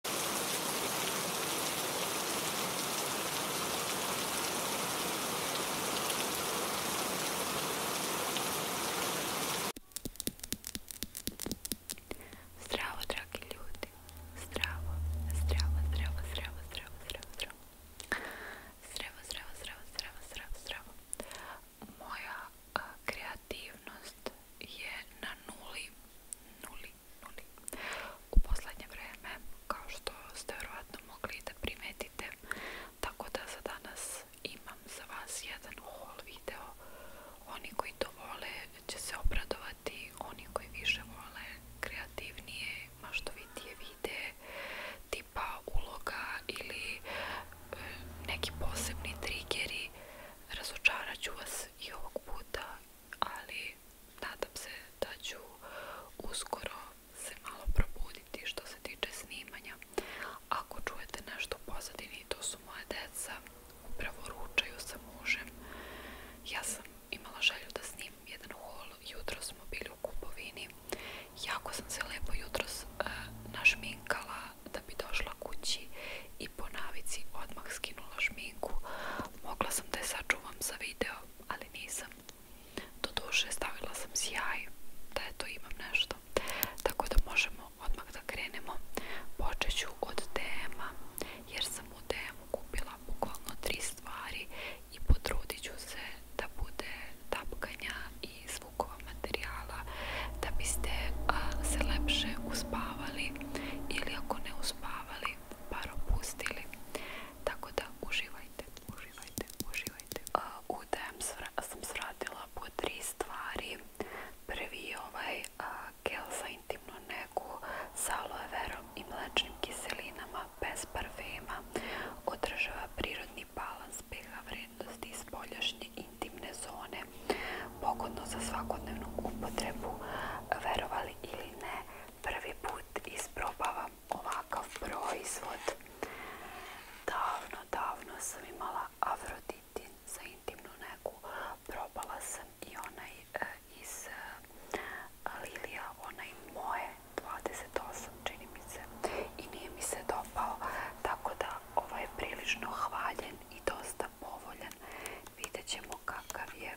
Zdravo, dragi ljudi. Zdravo, zdravo, zdravo, zdravo, zdravo, zdravo, zdravo. Zdravo, zdravo, zdravo, zdravo, zdravo, zdravo. Moja a, kreativnost je na nuli. Nuli, nuli. U poslednje vreme, kao što ste vjerojatno mogli da primetite, tako da za danas imam za vas jedan haul video. Oni koji to vole će se obradovati, oni koji više vole kreativnije, maštovitije videe, tipa uloga ili e, neki posebni trigeri, razočarat ću vas i ovog puta ali nadam se da ću uskoro se malo probuditi što se tiče snimanja. Ako čujete nešto u pozadini, to su moje deca, upravo ručaju sa mužem. Ja sam imala želju da snimim jedan hol, jutro smo bili u kupovini. Jako sam se lepo jutros uh, našminkala da bi došla kući i po navici skinula šminku. Mogla sam da je sačuvam za video, ali nisam. Doduše stavila sam sjaj, da eto imam nešto. Tako da možemo odmah da krenemo. Počet od dm jer sam u dm kupila bukvalno tri stvari i potrudit se da bude tapkanja i zvukova materijala da biste a, se lepše uspavali ili ako ne uspavali spavali, par opustili, tako da uživajte, uživajte, uživajte. U DM sam svratila po tri stvari. Prvi je ovaj gel za intimnu negu sa aloe verom i mlečnim kiselinama bez parfema. Održava prirodni balans pH vrednosti i spoljašnje intimne zone. Pogodno za svakodnevnu upotrebu. Verovali probali ili ne, prvi put isprobavam ovakav proizvod. Davno, davno sam imala Afroditin za intimnu negu. Probala sam i onaj e, iz e, Lilija, onaj moje 28, čini mi se. I nije mi se dopao, tako da ovo ovaj je prilično hvaljen i dosta povoljan. Vidjet ćemo kakav je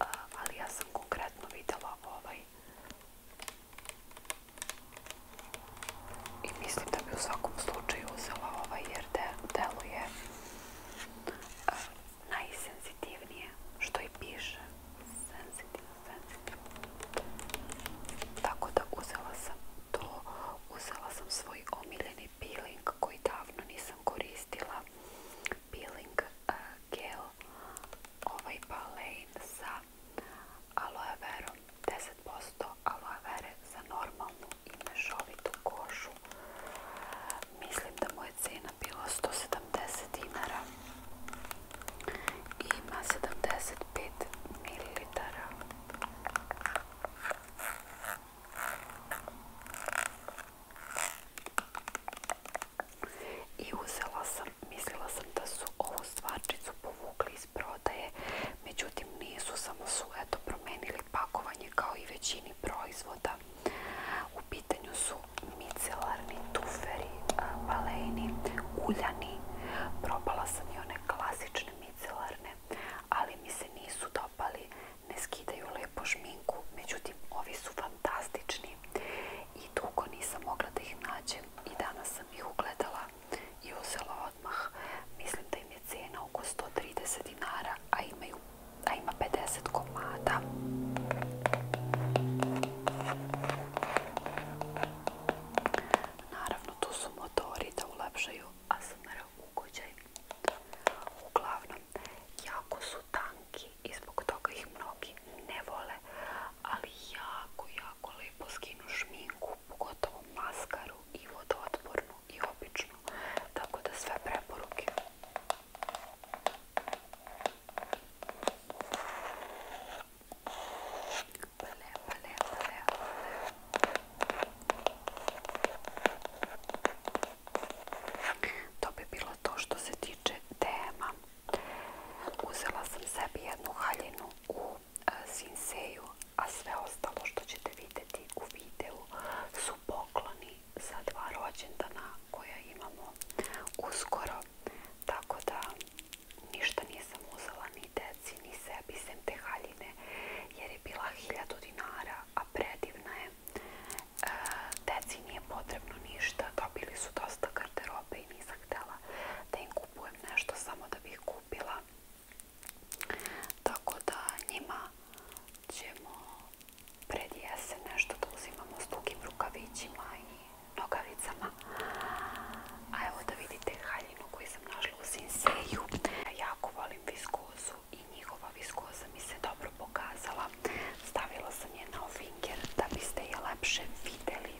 uh, ali ja sam konkretno vidjela ovaj i mislim da bi u svakom slučaju uzela ovaj jer deluje uh, najsenzitivnije što i piše senzitivno, senzitivno tako da uzela sam to uzela sam svoj omiljeni peeling koji davno nisam koristila peeling uh, gel ovaj balen sa aloe verom 10% aloe vere za normalnu i mešovitu kožu mislim da mu je cena bila 170 dinara i ima 75 mililitara I uzela sam, mislila sam da su ovu stvarčicu povukli iz prodaje, međutim nisu, samo su eto promenili pakovanje kao i većini proizvoda. U pitanju su micelarni tuferi, baleni, uljani. Probala sam i one klasične micelarne, ali mi se nisu dopali, ne skidaju lepo šminku, međutim ovi su fantastični i dugo nisam mogla da ih nađem i danas sam ih ugledala i uzela odmah. Mislim da im je cena oko 130 dinara, a, imaju, a ima 50 komada. Naravno tu su motori da ulepšaju ASMR ugođaj. Uglavnom jako su tanki i zbog toga ih mnogi ne vole, ali jako, jako lepo skinu šminku, pogotovo maskaru i vodootpornu i običnu, tako da sve preporuke. Bele, bele, bele, bele. To bi bilo to što se tiče tema. Uzela sam sebi jednu haljinu u e, Sinseju, a sve ostalo što ćete vidjeti u videu su pokloni za dva rođendana koja imamo uskoro. Tako da ništa nisam uzela ni deci, ni sebi, sem te haljine, jer je bila hiljadu dinara, a predivna je Deci nije potrebno ništa, dobili su dosta garderobe i nisam htjela da im kupujem nešto samo da bih kupila. Tako da njima ćemo pred jesen nešto da uzimamo s dugim rukavićima i nogavicama. A evo da vidite haljinu koju sam našla u Sinseju. Ja jako volim viskozu i njihova viskoza mi se dobro pokazala. Stavila sam je na finger da biste je lepše videli.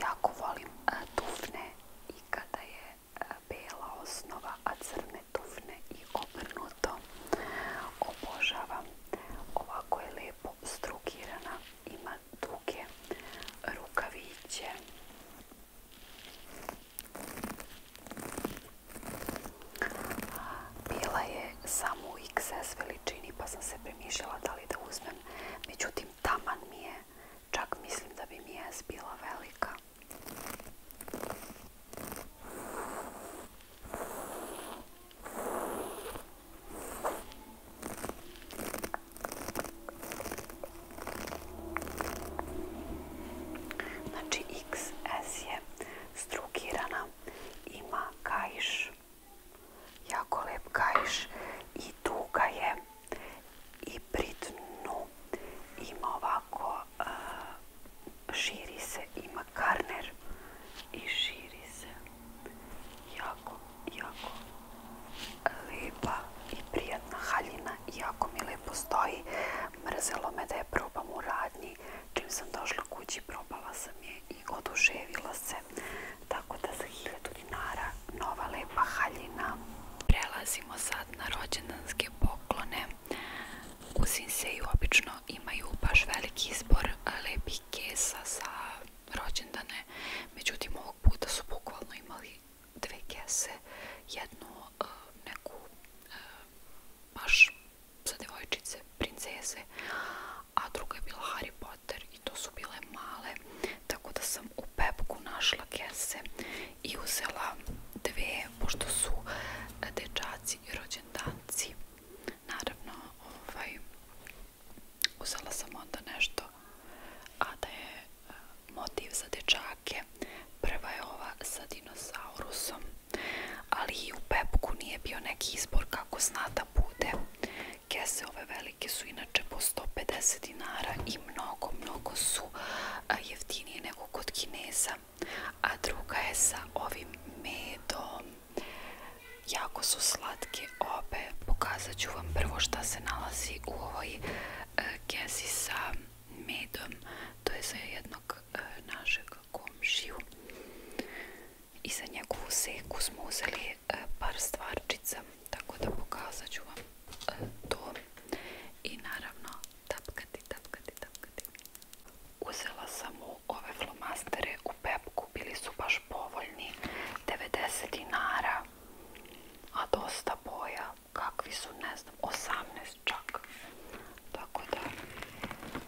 Jako volim e, tufne i kada je e, bela osnova, a crne tufne i obrnuto. Obožavam. Ovako je lepo strukirana. Ima duge rukaviće. Bila je samo u XS veličini pa sam se premišljala da li da uzmem. Međutim, taman mi je. Čak mislim da bi mi je bila velika. Znači XS je strukirana ima kajš, jako lep kajš i duga je i pri ima ovako, širi se, ima karner i širi se, jako, jako lepa i prijatna haljina jako mi lepo stoji. Mrzelo me da je probam u radnji, čim sam došla kući probala sam je je i oduševila se, tako da za hiljadu dinara nova lepa haljina. Prelazimo sad na rođendanske poklone. U Sinseju obično imaju baš veliki izbor e, lepih kesa za rođendane, međutim ovog puta su bukvalno imali dve kese, jednu e, neku e, baš za devojčice, princeze, a druga je bila Harry Potter i to su bile male, tako da sam u pepku našla kese i uzela dve, pošto su e, dečaci i rođendanci. Naravno, ovaj, uzela sam onda nešto, a da je e, motiv za dečake. Prva je ova sa dinosaurusom, ali i u pepku nije bio neki izbor kako zna da bude. Kese ove velike su inače po 150 dinara i mnogo, mnogo su jeftinije nego kod kineza. A druga je sa ovim medom. Jako su slatke obe. Pokazat ću vam prvo šta se nalazi u ovoj e, kesi sa medom. To je za jednog e, našeg komšiju i za njegovu seku smo uzeli e, par stvarčica, tako da pokazat ću vam e, to i naravno tapkati, tapkati, tapkati. Uzela sam mu ove flomastere u pepku, bili su baš povoljni, 90 dinara, a dosta boja, kakvi su, ne znam, 18 čak. Tako da,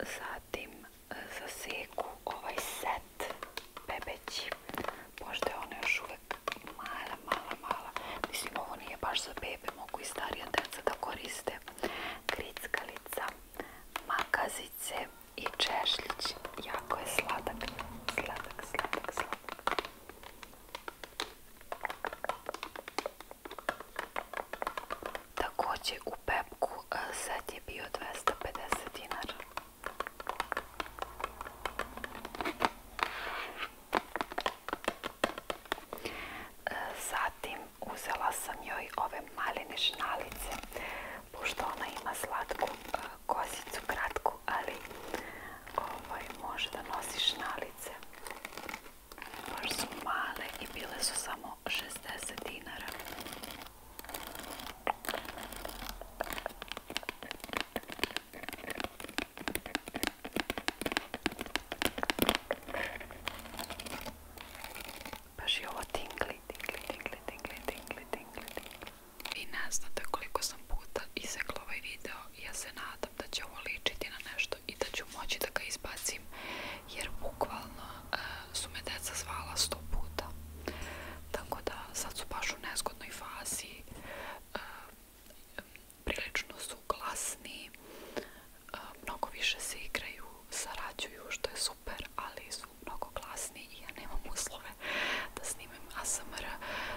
zatim e, zaseku ovaj set bebeći pošto je ona još uvek mala, mala, mala mislim ovo nije baš za bebe mogu i starija deca da koriste grickalica makazice i češljić jako je sladak sladak, sladak, sladak Takođe u Pepku e, set je bio 250 dinara. E, zatim uzela sam joj ove maline šnalice, pošto ona ima slatku e, kosicu, kratku, ali ovaj, može da nosi šnalice. Baš su male i bile su samo 60 dinara. Baš je ovo tingli, tingli, tingli, tingli, tingli, tingli, tingli. Vi ne znate koliko sam puta izekla ovaj video. Ja se nadam da će ovo ličiti na nešto i da ću moći da ga izbacim jer bukvalno e, su me deca zvala sto puta. Tako da sad su baš u nezgodnoj fazi, e, prilično su glasni, e, mnogo više se igraju, sarađuju što je super, ali su mnogo glasni i ja nemam uslove da snimim ASMR,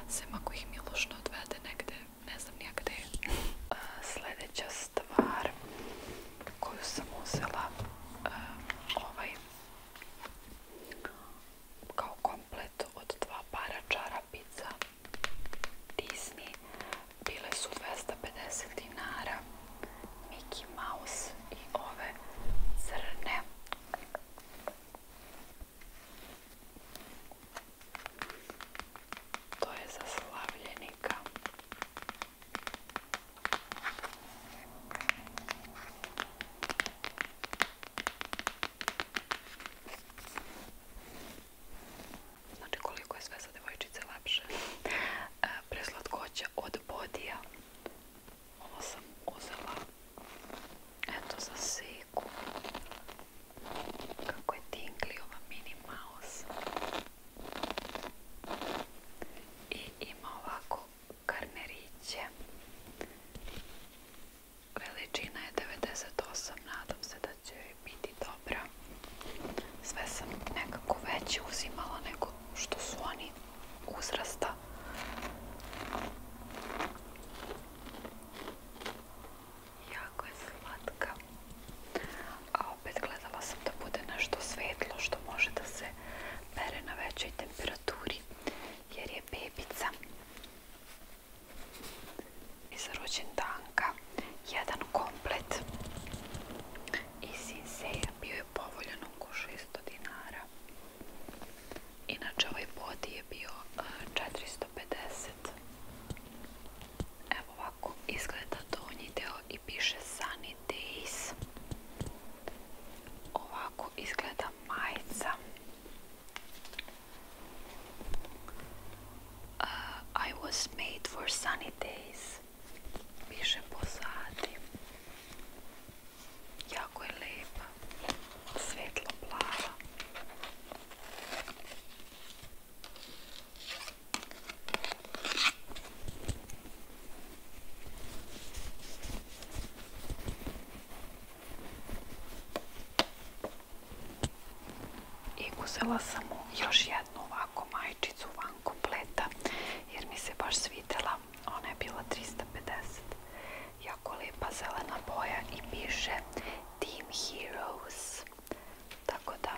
sem ako ih Miloš ne odvede negde, ne znam nija gde. E, sljedeća stvar koju sam uzela eh, ovaj kao komplet od dva para čarapica Disney bile su 250 dinara Mickey Mouse i ove crne To je za slavljenika. Znači koliko je sve za devojčice lepše. E, preslatkoća od bodija. Ovo sam uzela. Eto za siku. Kako je tingli ova mini mouse i ima ovako karneriće veličina je 98 nadam se da će biti dobra sve sam nekako veće uzimala nego što su oni uzrasta jako je slatka A opet gledala sam da bude nešto svetlo što može da se pere na većoj temperaturi jer je bebica iz rođendanka jedan komplet iz Sinseja bio je povoljan oko 600 dinara. Inače ovaj body je bio 450 e, Evo ovako izgleda da donji deo i piše Sunny Days. Ovako izgleda majica. Uh, I was made for sunny days. Piše pozadi. Jako je lepa. Svetlo plava. I uzela sam mu još jednu ovako majčicu van kompleta jer mi se baš svidela. Ona je bila 350. Jako lepa zelena boja i piše Team Heroes. Tako da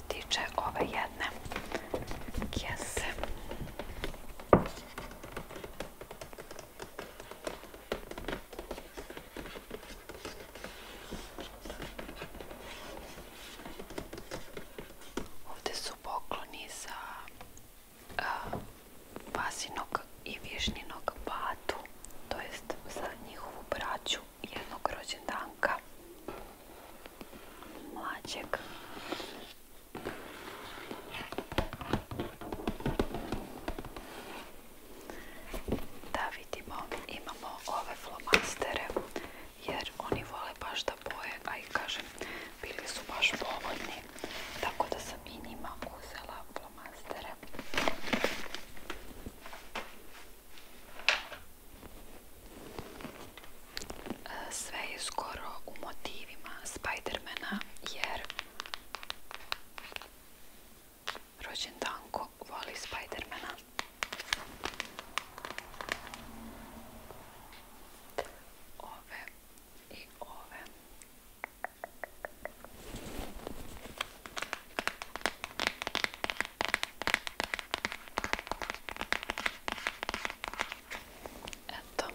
se tiče ove jedne kese. Ovde su pokloni za uh, vasinog i višninog batu, to jest za njihovu braću jednog rođendanka mlađeg. Da vidimo, imamo ove flomastere jer oni vole baš da boje, a i kažem, bili su baš povoljni, tako da sam i njima uzela flomastere sve je skoro u motivima Spidermana jer rođen Danko voli Spidermana ove i ove Eto.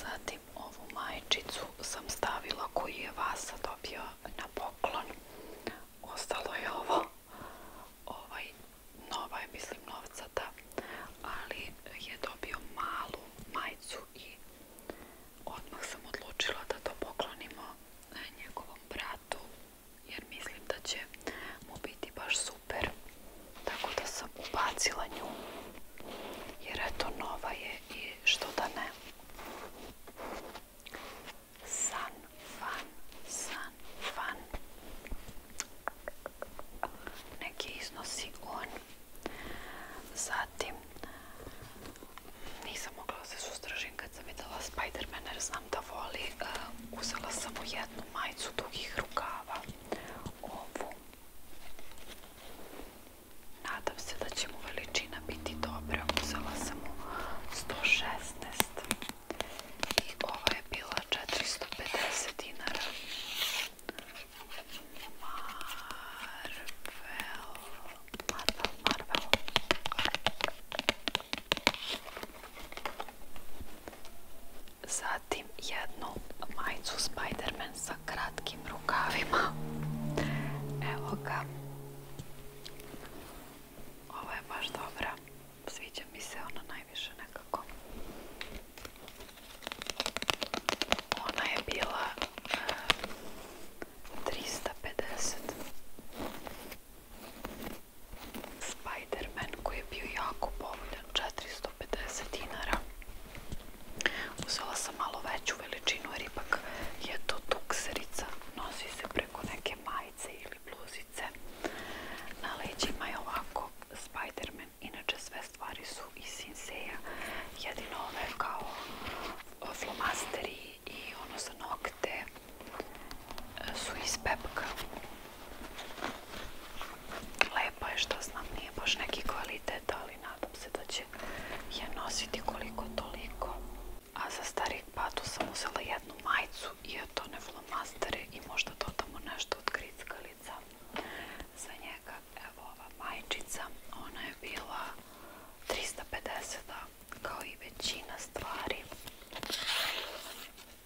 Zatim ovu majčicu sam stavila koju je Vasa dobio na poklon. Ostalo je ovo. Ovaj, nova je, mislim, novcata. Ali je dobio malu majicu i odmah sam odlučila da to poklonimo e, njegovom bratu jer mislim da će mu biti baš super tako da sam ubacila nju jer eto nova je što da ne san fan san fan neki iznosi on zatim nisam mogla da se sustržim kad sam videla Spider-Man jer znam da voli, uh, uzela sam mu jednu majicu dugih rukava, ovu. Nadam se da će mu veličina biti dobra, uzela sam mu 116 i ova je bila 450 dinara. Marvel, Marvel, Marvel. Zatim jednu majicu Spiderman sa kratkim rukavima. Evo ga. Ovo je baš dobra. Sviđa mi se ona najviše nekako. Ona je bila 350. Eh, Spiderman koji je bio jako povoljan, 450 dinara. Uzela sam malo veću veličinu jer ipak je to tukserica, nosi se preko neke majice ili bluzice. Na leđima je ovako Spiderman, inače sve stvari su iz Sinseja, jedino ove kao flomasteri i ono sa noga gde e, su iz pepka. Lepa je što znam, nije baš neki kvalitet, ali nadam se da će je nositi koliko toliko. A za starih patu sam uzela jednu majicu i otone flomastere i možda dodamo nešto od grickalica. Za njega, evo ova majčica, ona je bila 350 kao i većina stvari.